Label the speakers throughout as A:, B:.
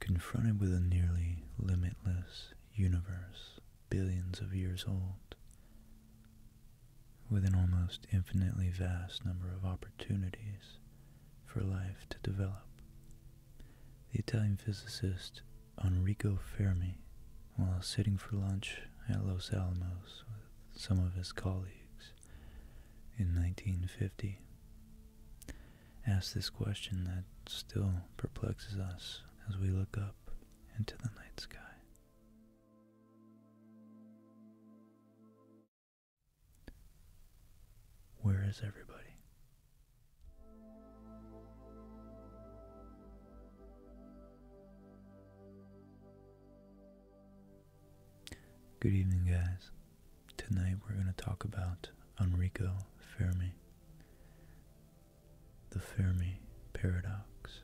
A: Confronted with a nearly limitless universe billions of years old, with an almost infinitely vast number of opportunities for life to develop, the Italian physicist Enrico Fermi, while sitting for lunch at Los Alamos with some of his colleagues in 1950, ask this question that still perplexes us as we look up into the night sky. Where is everybody? Good evening, guys. Tonight we're going to talk about Enrico Fermi, the Fermi paradox.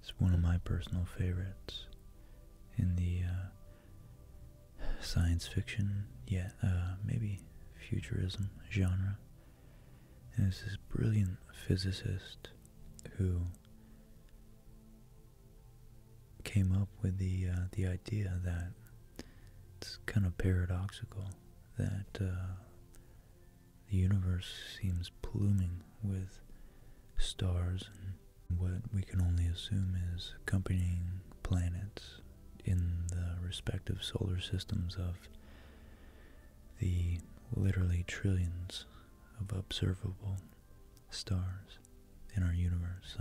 A: It's one of my personal favorites in the uh, science fiction, yeah, uh, maybe futurism genre. And there's this brilliant physicist who came up with the uh, the idea that it's kind of paradoxical that uh, the universe seems pluming with stars and what we can only assume is accompanying planets in the respective solar systems of the literally trillions of observable stars in our universe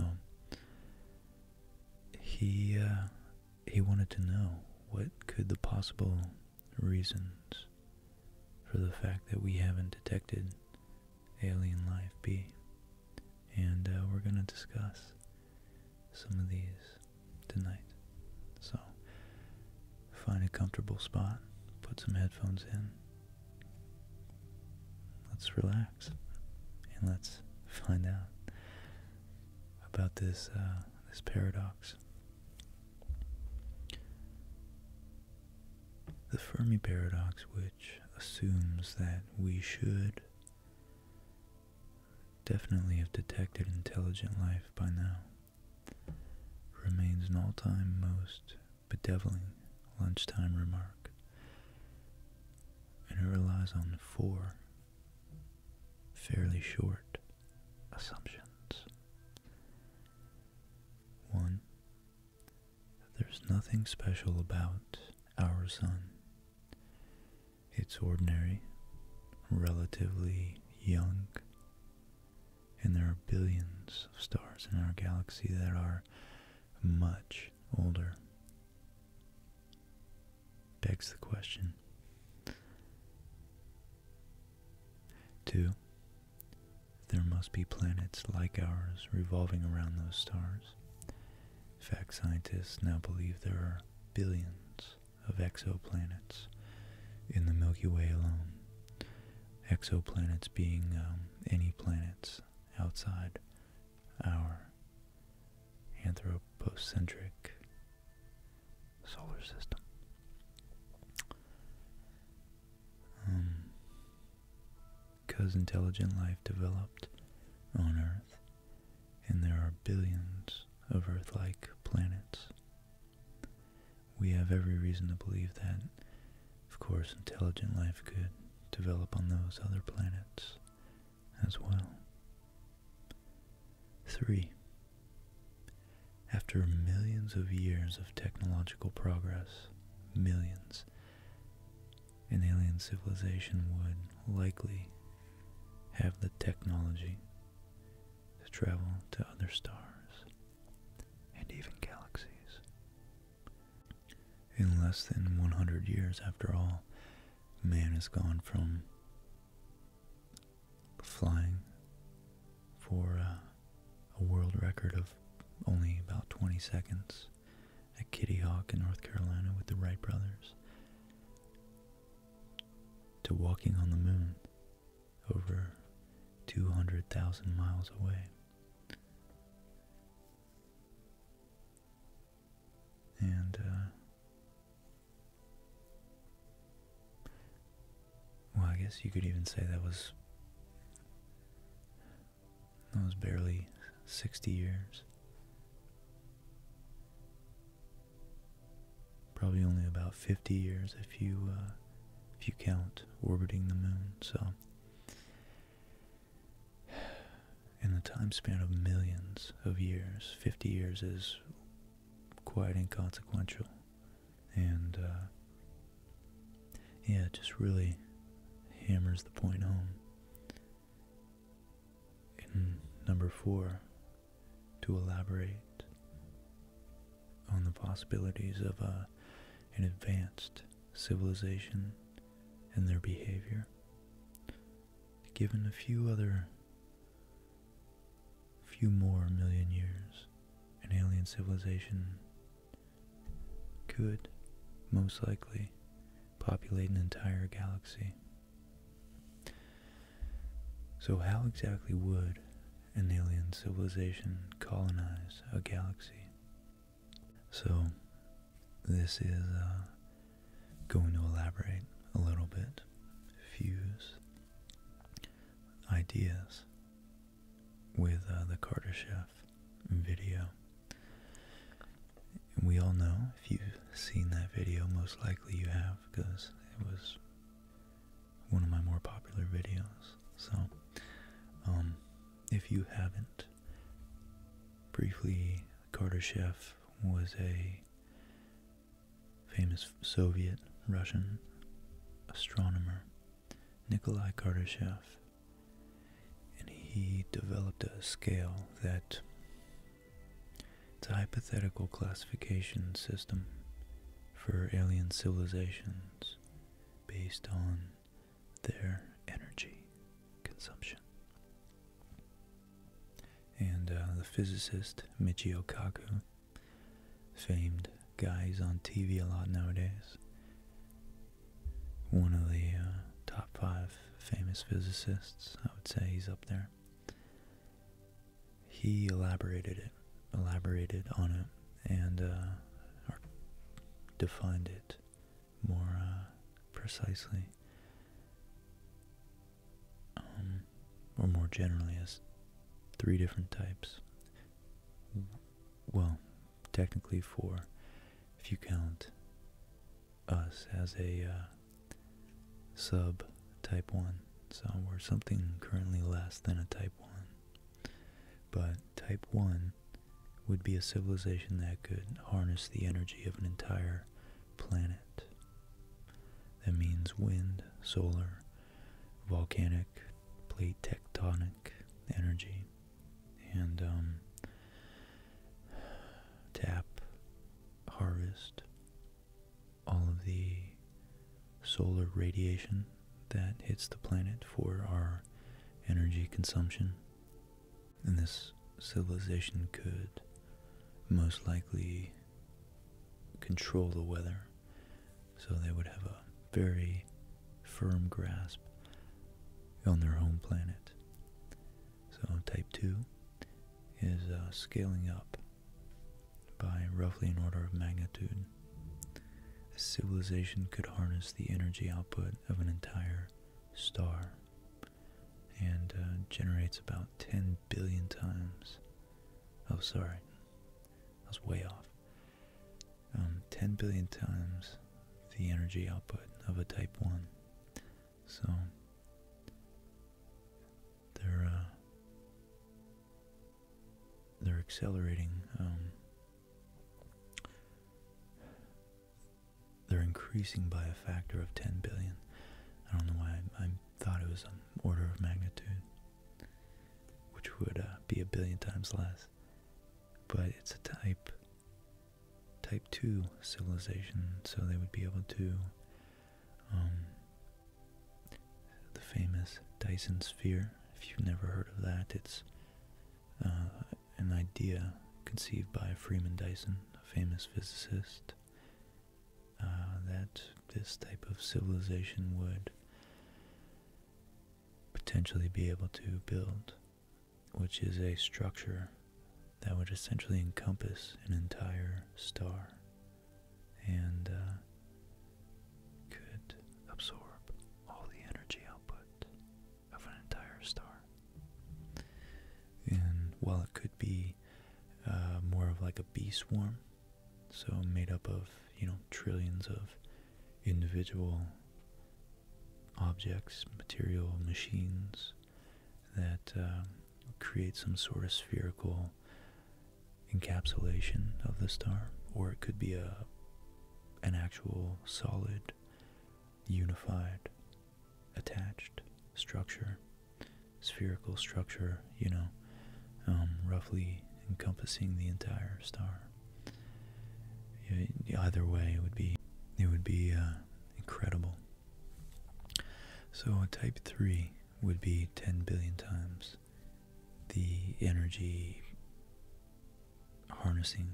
A: he uh, he wanted to know what could the possible reasons for the fact that we haven't detected alien life be, and uh, we're gonna discuss some of these tonight. So find a comfortable spot, put some headphones in. Let's relax and let's find out about this uh, this paradox. The Fermi paradox, which assumes that we should definitely have detected intelligent life by now, remains an all-time most bedeviling lunchtime remark and it relies on four fairly short assumptions. One, there's nothing special about our sun. It's ordinary, relatively young, and there are billions of stars in our galaxy that are much older begs the question. Two, there must be planets like ours revolving around those stars. In fact, scientists now believe there are billions of exoplanets in the Milky Way alone. Exoplanets being um, any planets outside our anthropocentric solar system. Because um, intelligent life developed on Earth, and there are billions of Earth like planets. We have every reason to believe that, of course, intelligent life could develop on those other planets as well. 3. After millions of years of technological progress, millions, an alien civilization would likely have the technology to travel to other stars and even galaxies. In less than 100 years, after all, man has gone from flying for uh, a world record of only about 20 seconds at Kitty Hawk in North Carolina with the Wright brothers to walking on the moon over 200,000 miles away. And, uh, well, I guess you could even say that was, that was barely 60 years. Probably only about 50 years if you, uh, if you count orbiting the moon, so in the time span of millions of years, 50 years is quite inconsequential. And, uh, yeah, just really hammers the point home. In number four, to elaborate on the possibilities of a, uh, an advanced civilization and their behavior given a few other few more million years, an alien civilization could most likely populate an entire galaxy. So how exactly would an alien civilization colonize a galaxy? So this is uh, going to elaborate a little bit, fuse ideas with uh, the Carter Chef video. we all know, if you've seen that video, most likely you have, because it was one of my more popular videos. So, um, if you haven't, briefly, Carter Chef was a famous Soviet Russian astronomer, Nikolai Kardashev, and he developed a scale that it's a hypothetical classification system for alien civilizations based on their energy consumption. And uh, the physicist Michio Kaku, famed guy who's on TV a lot nowadays, one of the uh, top five famous physicists, I would say he's up there. He elaborated it, elaborated on it, and uh, defined it more precisely um, or more generally as three different types. Well, technically four, if you count us as a uh, sub type 1. So we're something currently less than a type 1. But type 1 would be a civilization that could harness the energy of an entire planet. That means wind, solar, volcanic, plate tectonic energy, and um, tap, harvest, all of the solar radiation that hits the planet for our energy consumption and this civilization could most likely control the weather, so they would have a very firm grasp on their home planet. So, type 2 is uh, scaling up by roughly an order of magnitude. A civilization could harness the energy output of an entire star and uh, generates about 10 billion times. Oh, sorry, I was way off. Um, 10 billion times the energy output of a Type 1. So, they're, uh, they're accelerating um, they're increasing by a factor of 10 billion. I don't know why I, thought it was an order of magnitude, which would uh, be a billion times less. But it's a type, type 2 civilization, so they would be able to, um, the famous Dyson Sphere, if you've never heard of that, it's uh, an idea conceived by Freeman Dyson, a famous physicist uh, that this type of civilization would potentially be able to build, which is a structure that would essentially encompass an entire star and uh, could absorb all the energy output of an entire star. And while it could be uh, more of like a bee swarm, so made up of, you know, trillions of individual objects, material, machines that um, create some sort of spherical encapsulation of the star, or it could be a an actual solid, unified attached structure, spherical structure, you know, um, roughly encompassing the entire star. Either way, it would be it would be uh, incredible. So type three would be 10 billion times the energy harnessing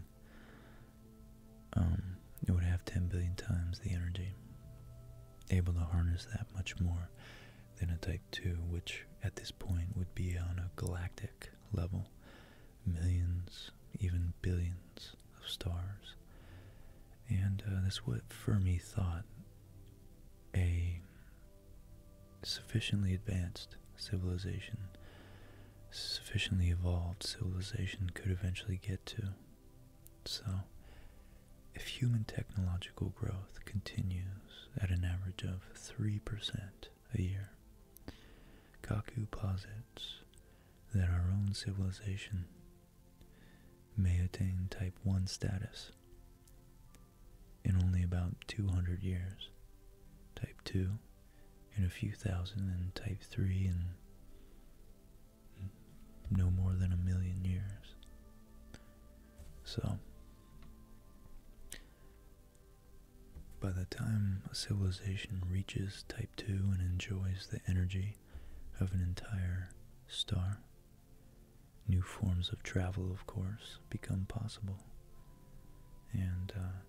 A: um, it would have 10 billion times the energy, able to harness that much more than a Type 2, which at this point would be on a galactic level, millions, even billions of stars. And uh, that's what Fermi thought a sufficiently advanced civilization, sufficiently evolved civilization could eventually get to. So, if human technological growth continues at an average of 3% a year, Kaku posits that our own civilization may attain type 1 status in only about 200 years, type 2 in a few thousand, and type 3 in no more than a million years. So, by the time a civilization reaches type 2 and enjoys the energy of an entire star, new forms of travel, of course, become possible. And uh,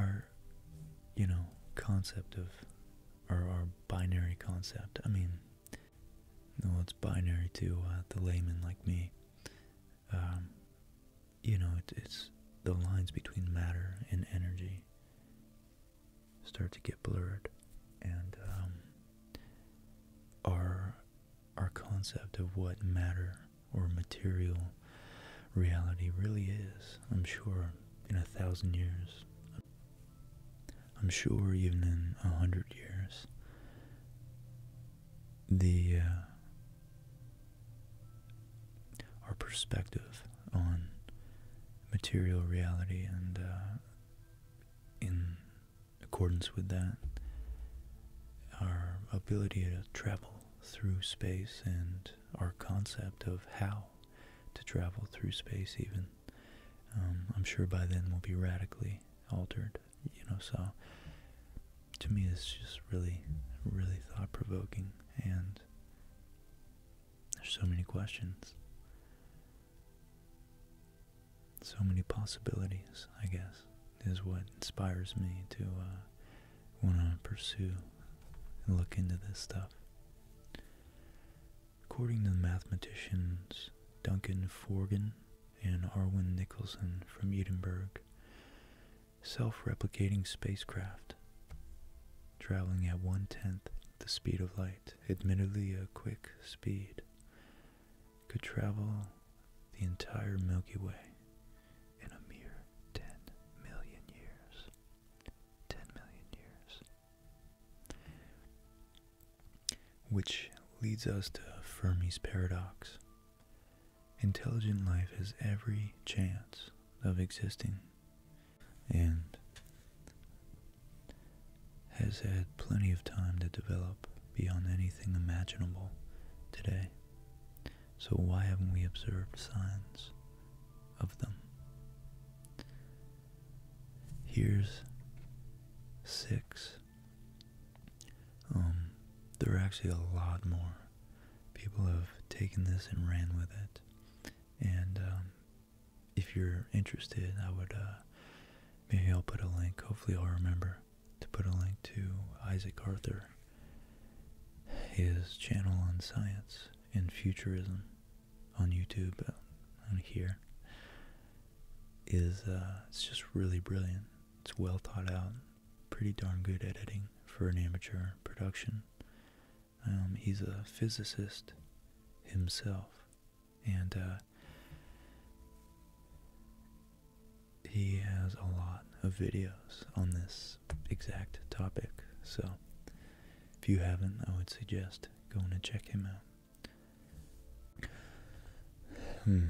A: our, you know, concept of our binary concept. I mean, well, it's binary to uh, the layman like me. Um, you know, it's the lines between matter and energy start to get blurred, and um, our our concept of what matter or material reality really is. I'm sure in a thousand years, I'm sure even in a hundred years, the uh, our perspective on material reality and uh, in accordance with that, our ability to travel through space and our concept of how to travel through space even um, I'm sure by then we'll be radically altered, you know. So to me, it's just really, really thought provoking, and there's so many questions, so many possibilities. I guess is what inspires me to uh, want to pursue and look into this stuff. According to mathematicians Duncan Forgan and Arwin Nicholson from Edinburgh, self-replicating spacecraft traveling at one-tenth the speed of light, admittedly a quick speed, could travel the entire Milky Way in a mere 10 million years. 10 million years. Which leads us to Fermi's paradox. Intelligent life has every chance of existing and has had plenty of time to develop beyond anything imaginable today. So, why haven't we observed signs of them? Here's six. Um, there are actually a lot more. People have taken this and ran with it. And um, if you're interested, I would uh, maybe I'll put a link. Hopefully, I'll remember to put a link to Isaac Arthur, his channel on science and futurism on YouTube and here is uh, it's just really brilliant. It's well thought out, pretty darn good editing for an amateur production. Um, he's a physicist himself, and uh, he has a lot of videos on this exact topic. So, if you haven't, I would suggest going to check him out. Hmm.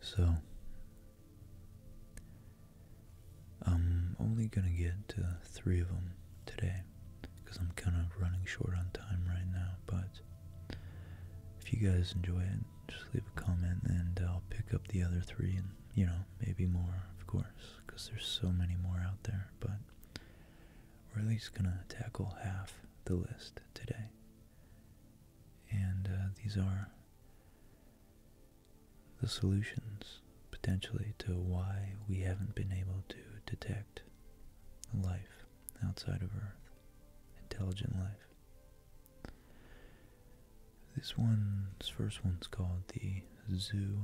A: So, I'm only going to get to three of them today because I'm kind of running short on time right now. But if you guys enjoy it, just leave a comment and I'll pick up the other three and, you know, maybe more, of course, because there's so many more out there. But we're at least going to tackle half the list today. And uh, these are the solutions potentially to why we haven't been able to detect life outside of Earth, intelligent life. This one's first one's called the zoo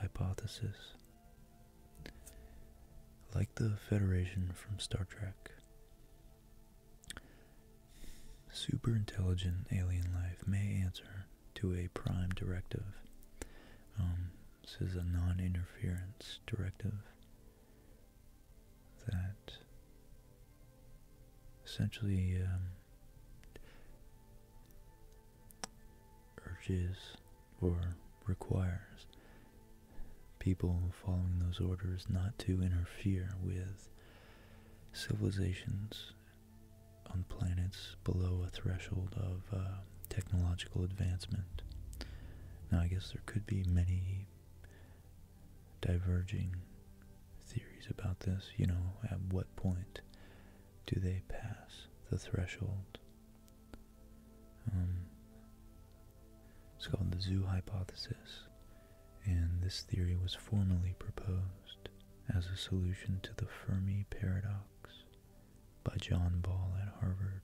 A: hypothesis. Like the Federation from Star Trek, super intelligent alien life may answer to a prime directive. this um, is a non interference directive that essentially um, urges or requires people following those orders not to interfere with civilizations on planets below a threshold of uh, technological advancement. Now, I guess there could be many diverging theories about this. You know, at what point do they pass the threshold um, it's called the zoo hypothesis, and this theory was formally proposed as a solution to the Fermi paradox by John Ball at Harvard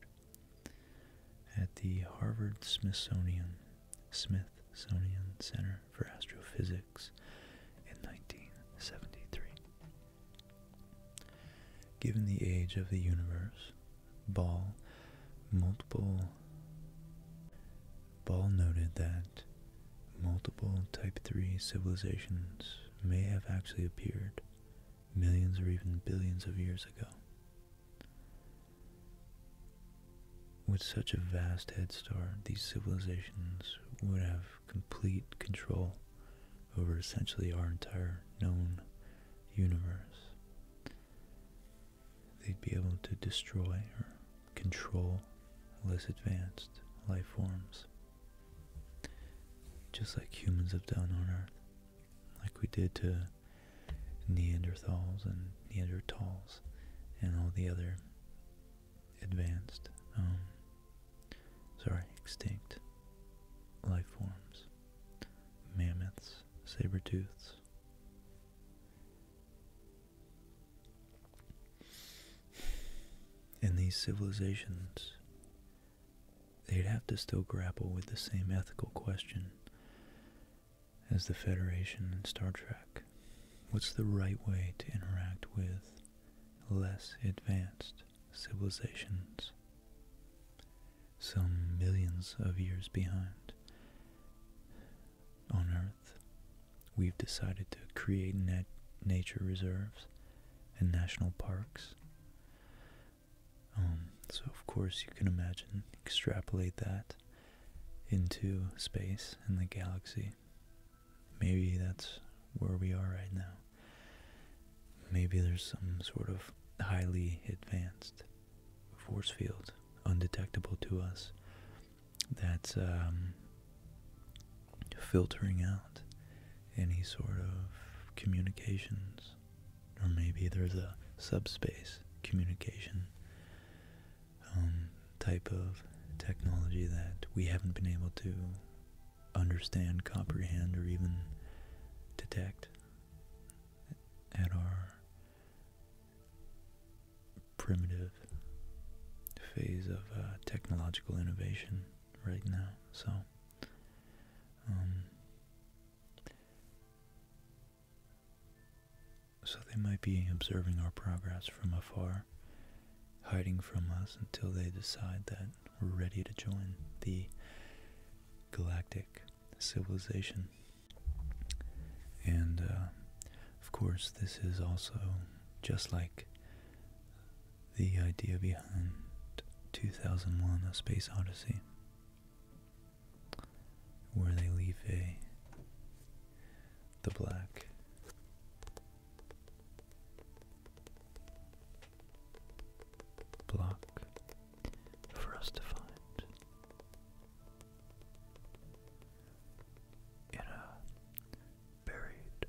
A: at the Harvard Smithsonian Smithsonian Center for Astrophysics in 1973. Given the age of the universe, Ball multiple Ball noted that multiple type 3 civilizations may have actually appeared millions or even billions of years ago. With such a vast head start, these civilizations would have complete control over essentially our entire known universe. They'd be able to destroy or control less advanced life forms, just like humans have done on Earth, like we did to Neanderthals and Neanderthals and all the other advanced um, sorry, extinct life forms, mammoths, saber-tooths. And these civilizations, they'd have to still grapple with the same ethical question as the Federation in Star Trek. What's the right way to interact with less advanced civilizations, some millions of years behind. On Earth, we've decided to create nat nature reserves and national parks. Um, so, of course, you can imagine, extrapolate that into space and the galaxy. Maybe that's where we are right now. Maybe there's some sort of highly advanced force field undetectable to us that's um, filtering out any sort of communications. Or maybe there's a subspace communication um, type of technology that we haven't been able to understand, comprehend, or even detect at our primitive phase of uh, technological innovation right now. So, um, so they might be observing our progress from afar, hiding from us until they decide that we're ready to join the galactic civilization. And uh, of course, this is also just like the idea behind 2001 A Space Odyssey, where they leave the black block for us to find. In a buried,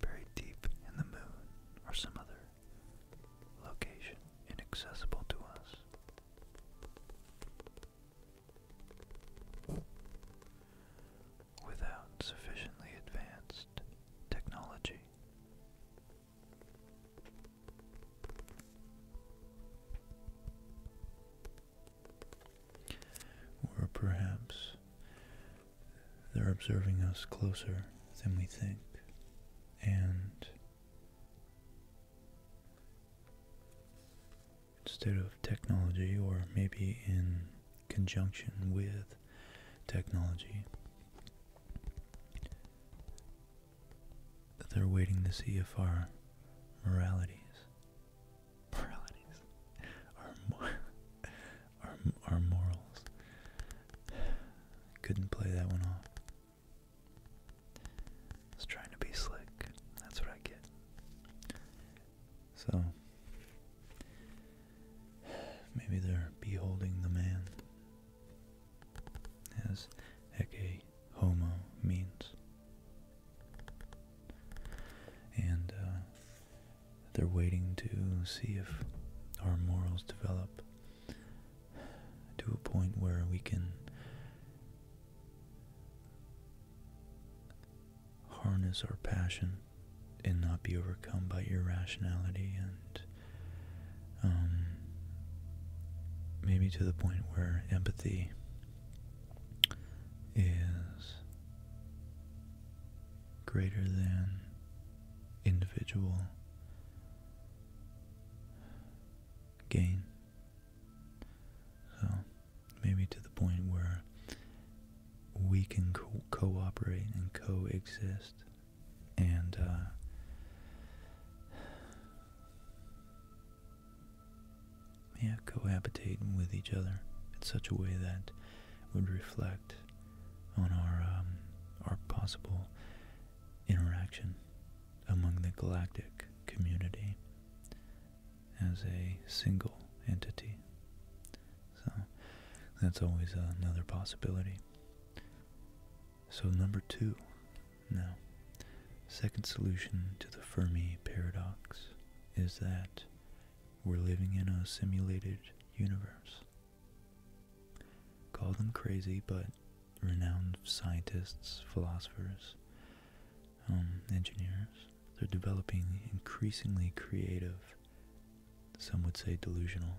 A: buried deep in the moon or some other location inaccessible to us. Without sufficiently advanced technology, or perhaps they're observing us closer than we think and instead of technology or maybe in conjunction with technology they're waiting to see if our moralities, our, our, our morals, couldn't play that one off. was trying to be slick. That's what I get. So, maybe they're beholding the man as Ecce Homo means. And uh, they're waiting to see if our morals develop to a point where we can harness our passion and not be overcome by irrationality and um, maybe to the point where empathy is greater than individual gain. So maybe to the point where we can cooperate and coexist and uh, yeah, cohabitating with each other in such a way that would reflect on our um, our possible interaction among the galactic community as a single entity. So that's always another possibility. So number two, now, second solution to the Fermi paradox is that we're living in a simulated universe. Call them crazy, but renowned scientists, philosophers, um, engineers, they're developing increasingly creative, some would say delusional,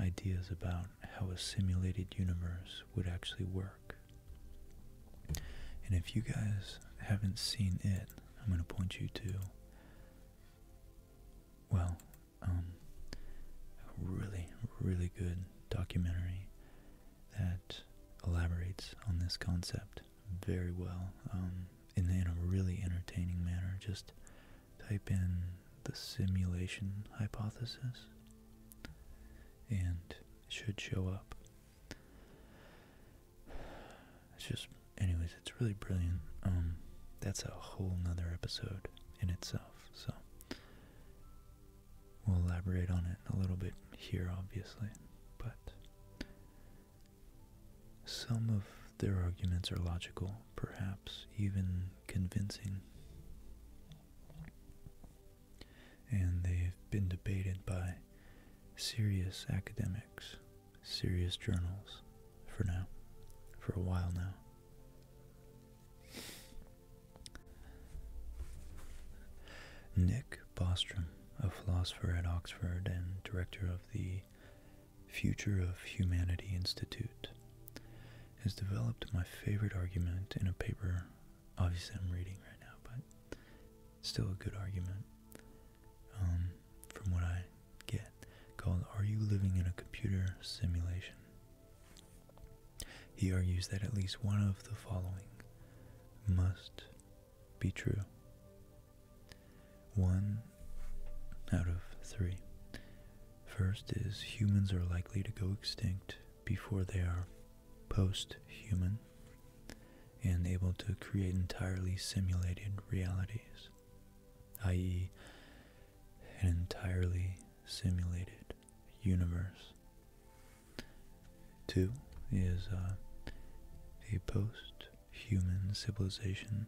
A: ideas about how a simulated universe would actually work. And if you guys haven't seen it, I'm going to point you to, well, um, a really, really good documentary that elaborates on this concept very well um, in a really entertaining manner. Just type in the simulation hypothesis and it should show up. It's just, anyways, it's really brilliant. Um, that's a whole nother episode in itself, so we'll elaborate on it a little bit here, obviously, but some of their arguments are logical, perhaps even convincing. And they've been debated by serious academics, serious journals, for now, for a while now. Nick Bostrom, a philosopher at Oxford and director of the Future of Humanity Institute, has developed my favorite argument in a paper. Obviously, I'm reading right now, but still a good argument um, from what I get called Are You Living in a Computer Simulation? He argues that at least one of the following must be true. One out of three. First is humans are likely to go extinct before they are post human and able to create entirely simulated realities, i.e., an entirely simulated universe. Two is uh, a post human civilization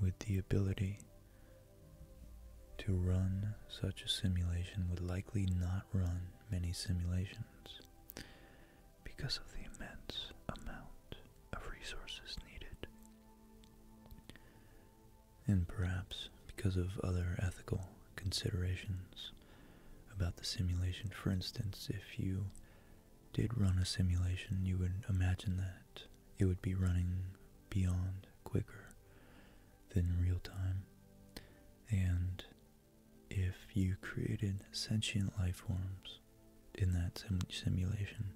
A: with the ability to run such a simulation would likely not run many simulations because of the immense amount of resources needed. And perhaps because of other ethical considerations about the simulation. For instance, if you did run a simulation, you would imagine that it would be running beyond quicker than real time. And if you created sentient life forms in that simulation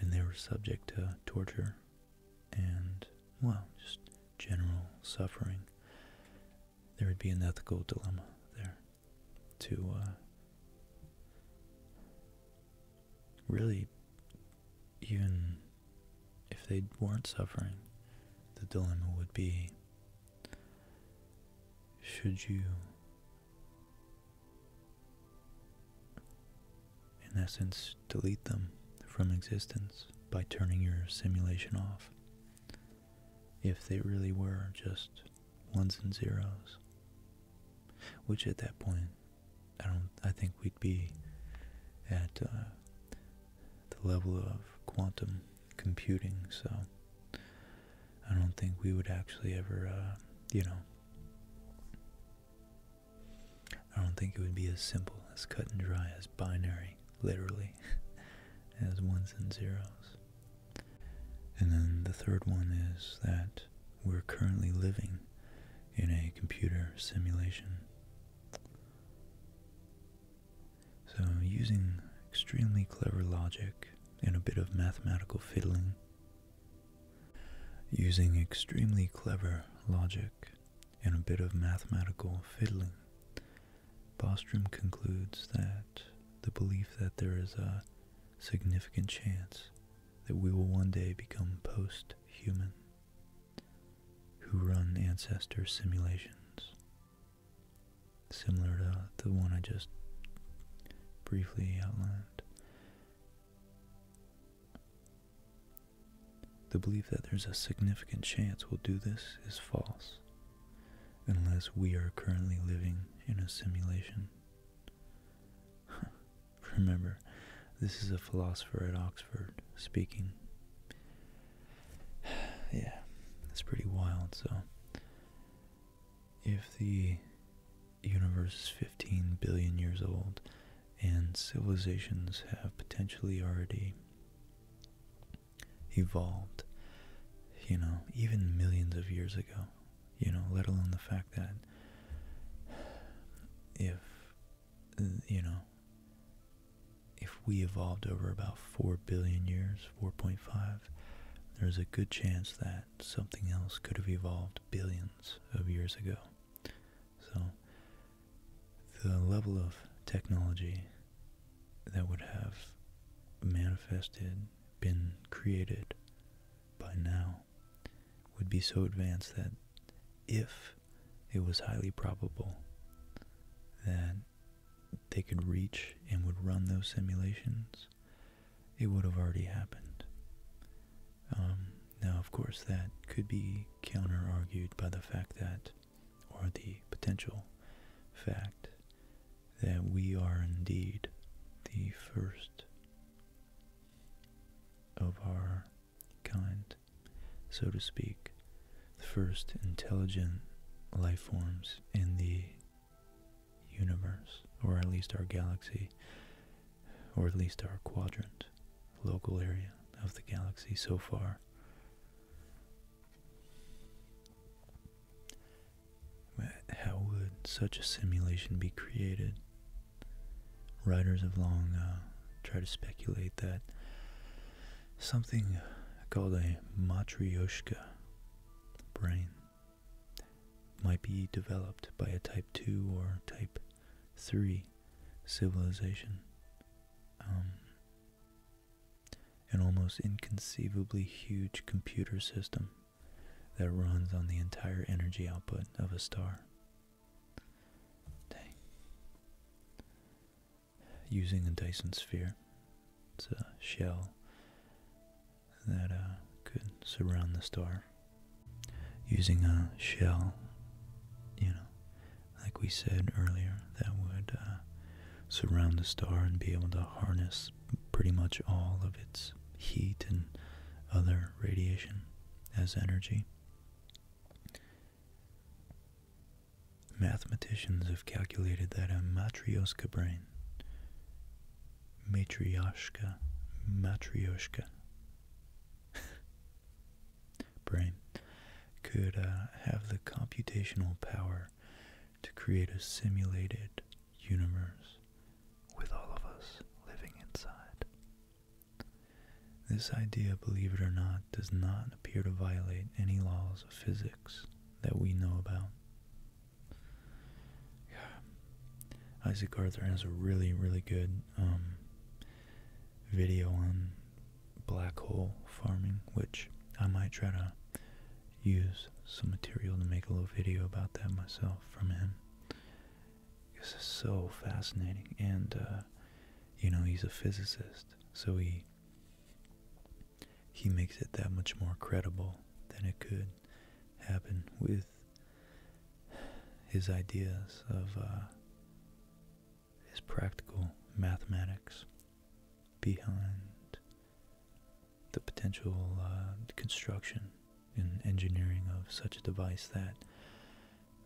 A: and they were subject to torture and, well, just general suffering, there would be an ethical dilemma there to uh, really even if they weren't suffering, the dilemma would be should you, in essence, delete them from existence by turning your simulation off if they really were just ones and zeros? Which at that point I don't. I think we'd be at uh, the level of quantum computing. So I don't think we would actually ever, uh, you know. I don't think it would be as simple as cut and dry as binary, literally, as ones and zeros. And then the third one is that we're currently living in a computer simulation. So, using extremely clever logic and a bit of mathematical fiddling, using extremely clever logic and a bit of mathematical fiddling, Bostrom concludes that the belief that there is a significant chance that we will one day become post human who run ancestor simulations similar to the one I just briefly outlined. The belief that there's a significant chance we'll do this is false, unless we are currently living in a simulation. Remember, this is a philosopher at Oxford speaking. yeah, it's pretty wild. So, if the universe is 15 billion years old and civilizations have potentially already evolved, you know, even millions of years ago, you know, let alone the fact that if uh, you know, if we evolved over about 4 billion years, 4.5, there's a good chance that something else could have evolved billions of years ago. So, the level of technology that would have manifested, been created by now would be so advanced that if it was highly probable that they could reach and would run those simulations, it would have already happened. Um, now, of course, that could be counter argued by the fact that, or the potential fact, that we are indeed the first of our kind so to speak, the first intelligent life forms in the universe, or at least our galaxy, or at least our quadrant, local area of the galaxy so far. How would such a simulation be created writers have long uh, tried to speculate that something called a matryoshka brain might be developed by a type 2 or type 3 civilization. Um, an almost inconceivably huge computer system that runs on the entire energy output of a star. Dang. Using a Dyson sphere. It's a shell that uh, could surround the star. Using a shell, you know, like we said earlier, that would uh, surround the star and be able to harness pretty much all of its heat and other radiation as energy. Mathematicians have calculated that a matrioshka brain, Matryoshka, Matryoshka brain, could uh, have the computational power to create a simulated universe with all of us living inside. This idea, believe it or not, does not appear to violate any laws of physics that we know about. Isaac Arthur has a really, really good um, video on black hole farming, which I might try to use some material to make a little video about that myself from him. This is so fascinating, and uh, you know he's a physicist, so he he makes it that much more credible than it could happen with his ideas of uh, his practical mathematics behind the potential uh, construction and engineering of such a device that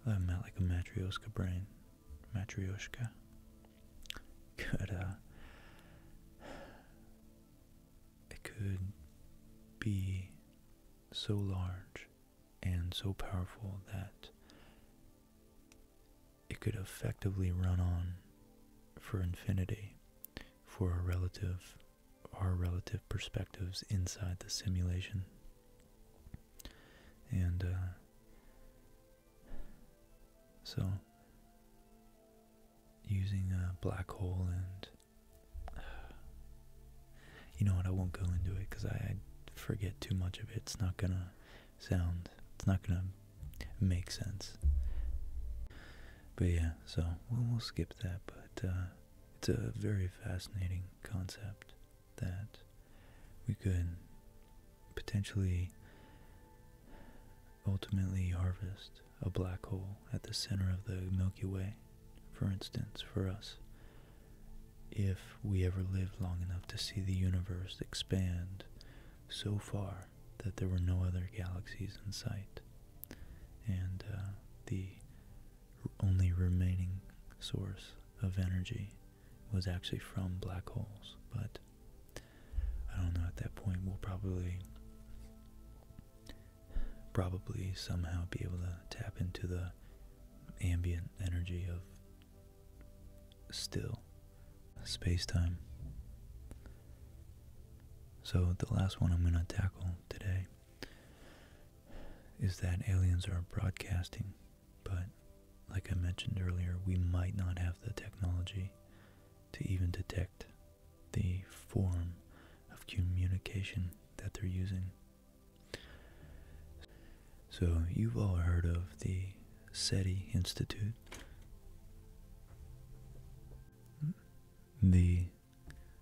A: that am not like a Matryoshka brain. Matryoshka. Could, uh, It could be so large and so powerful that it could effectively run on for infinity for our relative our relative perspectives inside the simulation and uh, so using a black hole and you know what I won't go into it because I, forget too much of it it's not gonna sound it's not gonna make sense but yeah so we'll, skip that but uh, it's a very fascinating concept that we could potentially ultimately harvest a black hole at the center of the Milky Way, for instance, for us, if we ever lived long enough to see the universe expand so far that there were no other galaxies in sight, and uh, the only remaining source of energy was actually from black holes, but I don't know at that point we'll probably probably somehow be able to tap into the ambient energy of still space-time. So the last one I'm going to tackle today is that aliens are broadcasting but like I mentioned earlier, we might not have the technology to even detect the form of communication that they're using. So, you've all heard of the SETI Institute. The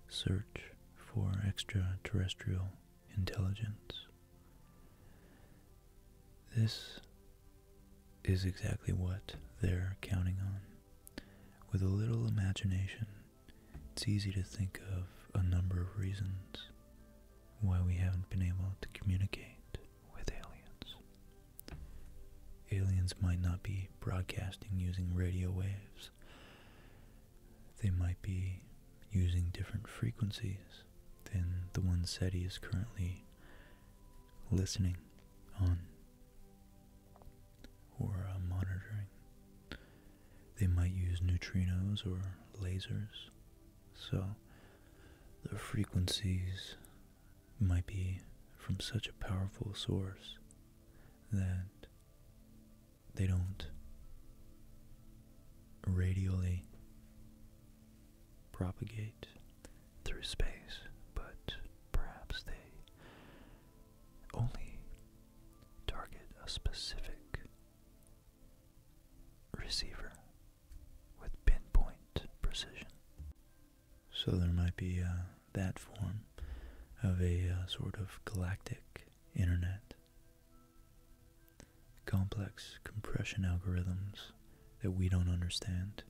A: search for extraterrestrial intelligence. This is exactly what they're counting on. With a little imagination, it's easy to think of a number of reasons why we haven't been able to communicate with aliens. Aliens might not be broadcasting using radio waves. They might be using different frequencies than the one said he is currently listening on or uh, monitoring. They might use neutrinos or lasers, so the frequencies might be from such a powerful source that they don't radially propagate through space, but perhaps they only target a specific receiver with pinpoint precision. So there might be uh, that form of a uh, sort of galactic internet complex compression algorithms that we don't understand,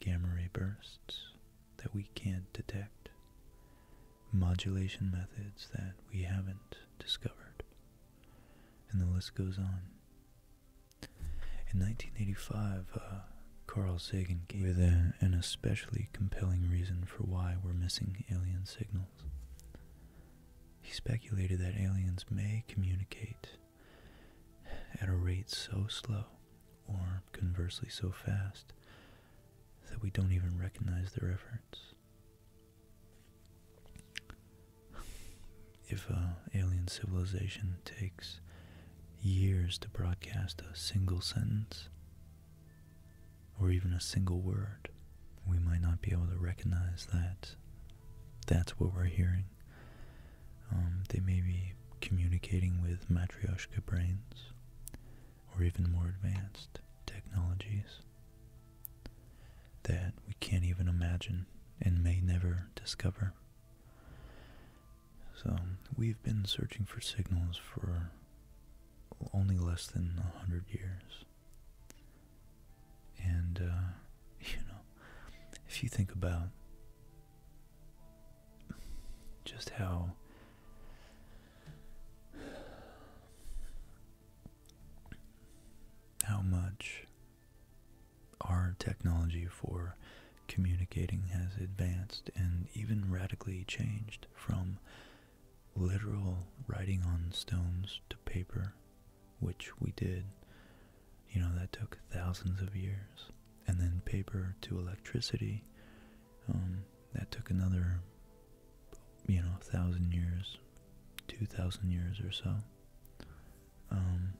A: gamma ray bursts that we can't detect, modulation methods that we haven't discovered, and the list goes on. In 1985, uh, Carl Sagan gave an especially compelling reason for why we're missing alien signals. He speculated that aliens may communicate at a rate so slow, or conversely so fast, that we don't even recognize their efforts. If an uh, alien civilization takes years to broadcast a single sentence, or even a single word, we might not be able to recognize that that's what we're hearing. Um, they may be communicating with Matryoshka brains or even more advanced technologies that we can't even imagine and may never discover. So we've been searching for signals for only less than a hundred years. And, uh, you know, if you think about just how how much our technology for communicating has advanced and even radically changed from literal writing on stones to paper which we did. You know, that took thousands of years. And then paper to electricity, um, that took another, you know, thousand years, two thousand years or so. Um,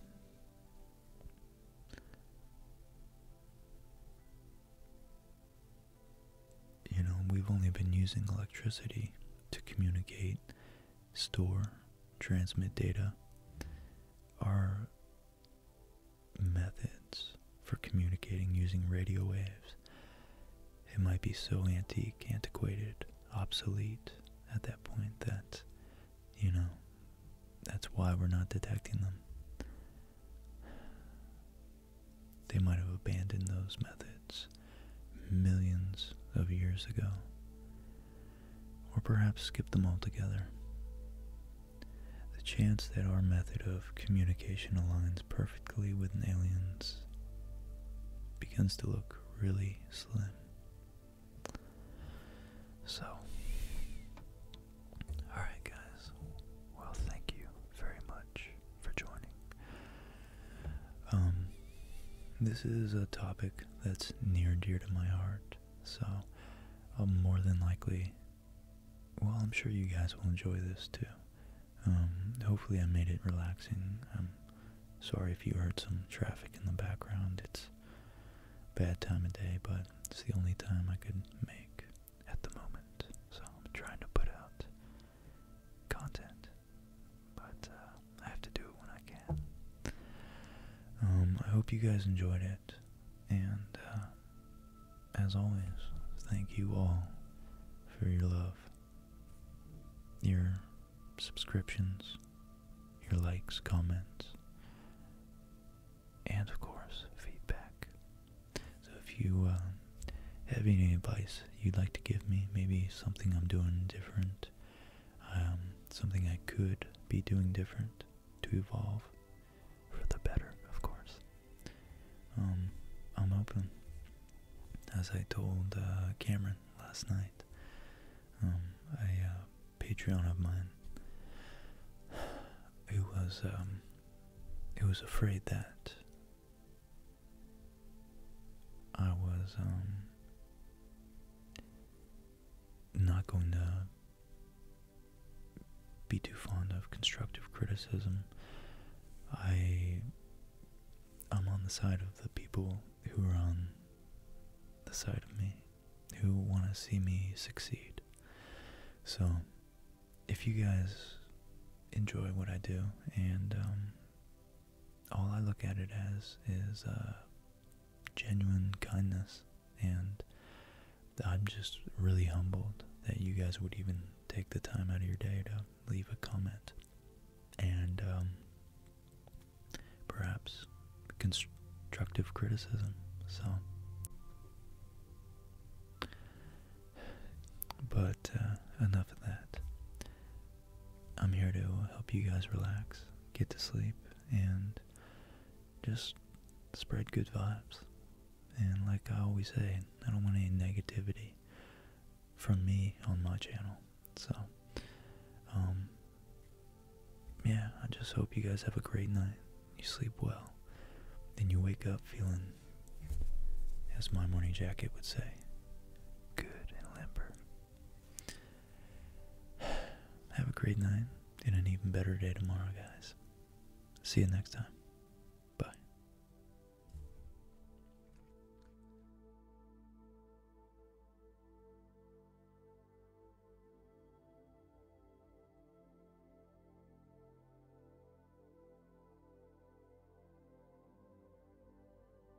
A: you know, we've only been using electricity to communicate store, transmit data, are methods for communicating using radio waves. It might be so antique, antiquated, obsolete at that point that, you know, that's why we're not detecting them. They might have abandoned those methods millions of years ago, or perhaps skip them altogether. The chance that our method of communication aligns perfectly with an alien's begins to look really slim. So, alright, guys, well, thank you very much for joining. Um, this is a topic that's near and dear to my heart, so i am more than likely, well, I'm sure you guys will enjoy this too. Um, hopefully I made it relaxing. I'm sorry if you heard some traffic in the background. It's bad time of day, but it's the only time I could make at the moment. So I'm trying to put out content, but uh, I have to do it when I can. Um, I hope you guys enjoyed it, and uh, as always, thank you all for your love, your subscriptions, your likes, comments, and of course, feedback. So if you uh, have any advice you'd like to give me, maybe something I'm doing different um, something I could be doing different to evolve for the better, of course. Um, I'm open, as I told uh, Cameron last night. Um, a uh, Patreon of mine who was who was afraid that I was um, not going to be too fond of constructive criticism. I am on the side of the people who are on the side of me, who want to see me succeed. So, if you guys enjoy what I do and um, all I look at it as is uh, genuine kindness, and I'm just really humbled that you guys would even take the time out of your day to leave a comment and um, perhaps constructive criticism. So, but uh, enough of that. I'm here to help you guys relax, get to sleep, and just spread good vibes. And like I always say, I don't want any negativity from me on my channel. So, um, yeah, I just hope you guys have a great night. You sleep well. Then you wake up feeling, as my morning jacket would say, good and limber. Have a great night and an even better day tomorrow, guys. See you next time. Bye.